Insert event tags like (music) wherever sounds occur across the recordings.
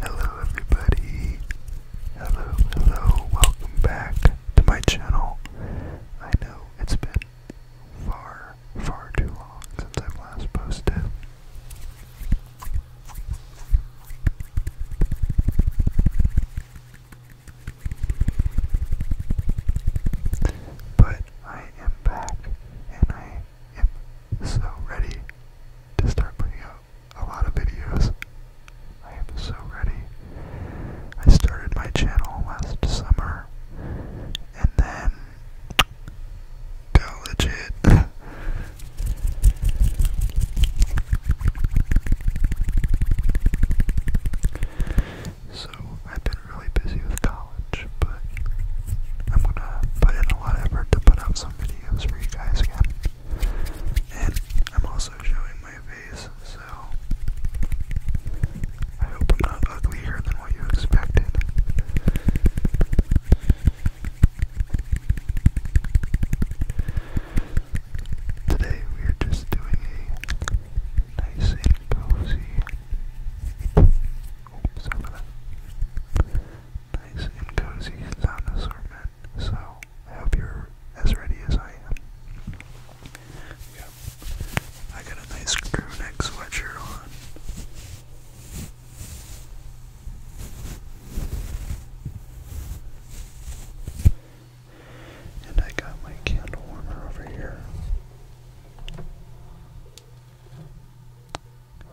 Hello, everybody. Hello, hello. Welcome back to my channel. I know it's been far, far too long since I've last posted. But I am back and I am so ready to start putting out a lot of videos. I am so ready. I started my channel last summer and then got legit. (laughs) So I've been really busy with college, but I'm gonna put in a lot of effort to put out some videos for you guys And I'm also showing my face, so I hope I'm not uglier than what you expected. Today we are just doing a nice and cozy. Oops, sorry for that. Nice and cozy sauna assortment. So I hope you're as ready as I am. Yep. I got a nice crew neck sweatshirt on. And I got my candle warmer over here.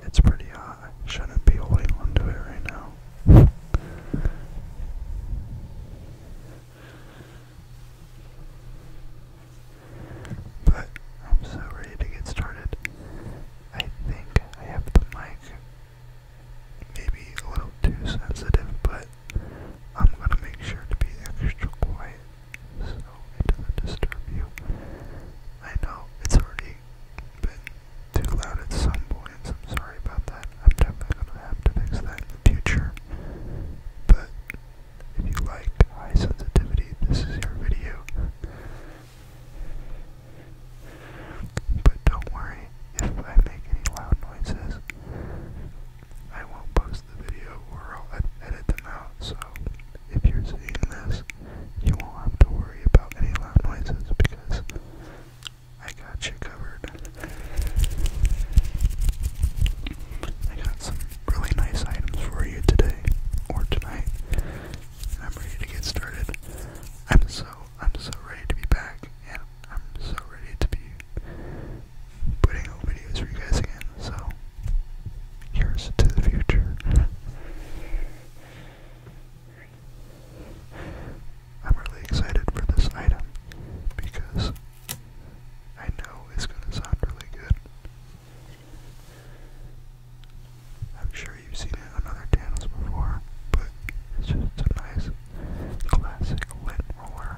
It's pretty hot. shouldn't be holding on it right now. But I'm so ready to get started. I think I have the mic maybe a little too sensitive, but I'm gonna make sure to be extra quiet so it doesn't disturb you. I know it's already been too loud at some points, I'm sorry about that. I'm definitely gonna have to fix that in the future. But if you like high sensitivity, this is your video. But don't worry if I make any loud noises. I won't post the video or I'll edit them out, so if you're seeing this, you won't have to worry about any loud noises because I got you covered. I got some really nice items for you today or tonight, I'm ready to get started. I'm so I'm so ready to be back, and I'm so ready to be putting out videos for you guys again. So, here's to the future. I'm really excited for this item because I know it's going to sound really good. I'm sure you've seen other channels before, but it's just a nice classic lint roller.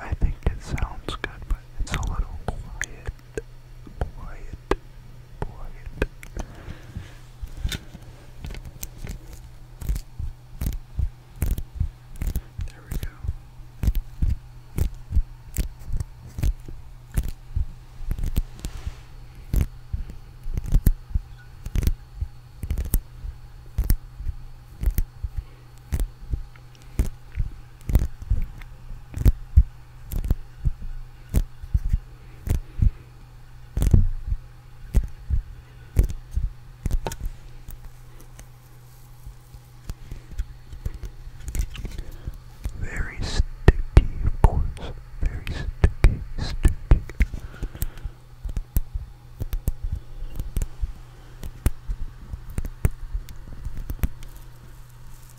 I think it sounds good, but it's a little quiet quiet, quiet. There we go. Very sticky, of Very sticky, sticky.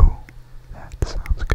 Oh, that sounds good.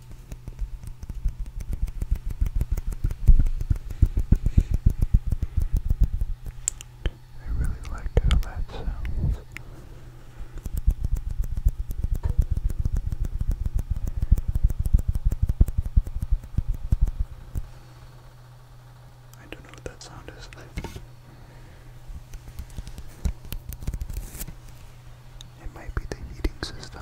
I really like how that sounds. I don't know what that sound is. It might be the heating system.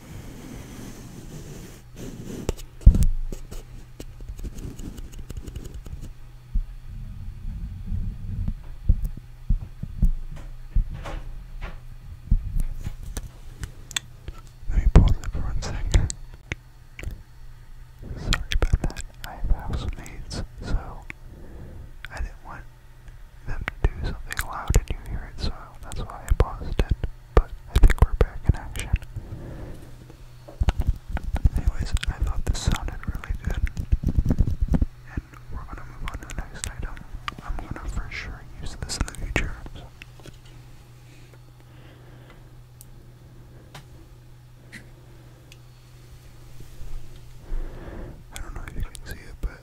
Let me pause it for one second. Sorry about that. I have housemates, so I didn't want them do something loud and you hear it, so that's why I paused it. But I think we're back in action. Anyways, I thought this sounded really good. And we're gonna move on to the next item. I'm gonna for sure use this in the future. I don't know if you can see it, but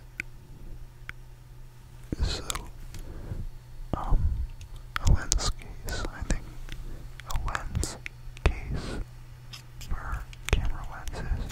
so, um, a lens case, I think a lens case for camera lenses.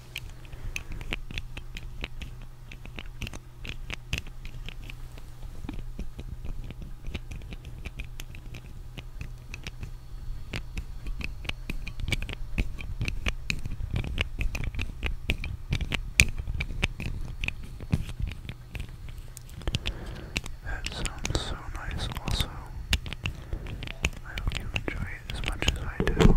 That sounds so nice also. I hope you enjoy it as much as I do.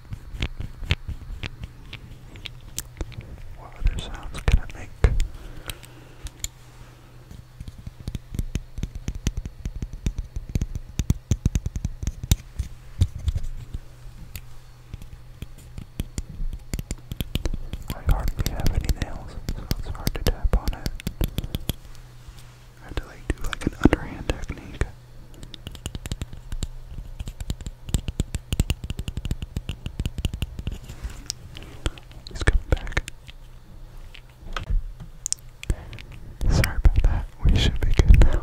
What other sounds can I make? I hardly have any nails, so it's hard to tap on it. I have to like do like an underhand technique. He's coming back. Sorry about that. We should be good now.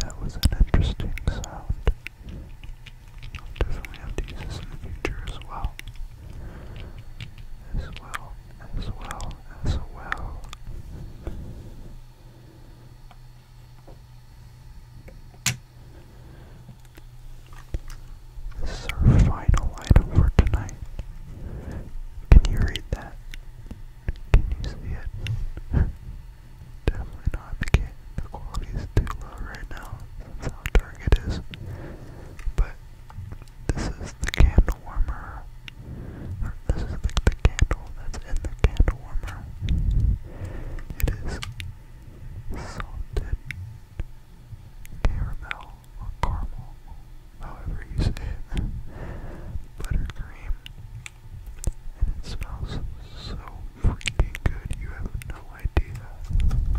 That was an interesting sound. I'll definitely use this in the future as well. As well, as well, as well. This is our final item for tonight. Can you read that? Can you see it? (laughs) Definitely not. The, quality is too low right now. That's how dark it is. But this is the candle warmer this is the candle that's in the candle warmer. It is salted caramel or caramel, however you say it, buttercream. And it smells so freaking good, you have no idea.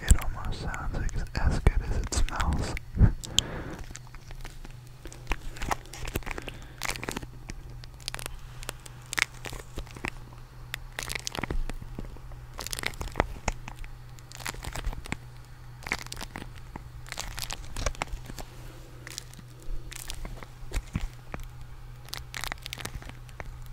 It almost sounds as good as it smells.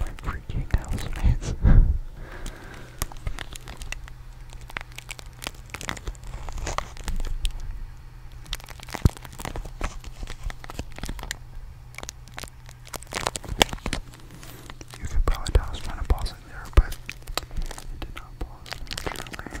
My freaking housemates. (laughs) You could probably tell I was to pause it there, but it did not pause, unfortunately.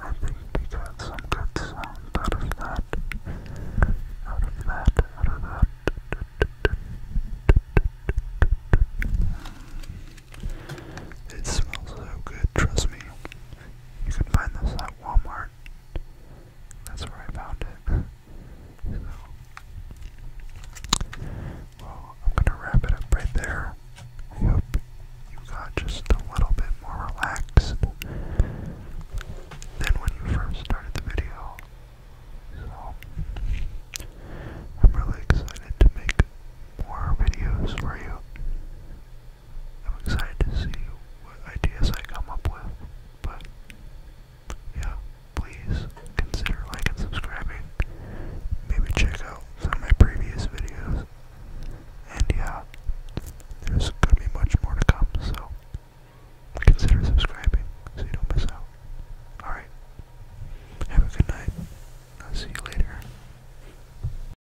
I think we got some good sound out of that. Out of that, out of that. It smells so good, trust me. You can find this at Walmart. That's where I found it. (laughs) So, well, I'm gonna wrap it up right there. I hope you got just a little bit more relaxed than when you first started the video. So, I'm really excited to make more videos for you. I'm excited to see what ideas I come up with. But yeah, please consider liking and subscribing. Maybe check out some of my previous videos. And yeah, there's gonna be much more to come, so consider subscribing so you don't miss out. Alright. Have a good night. I'll see you later.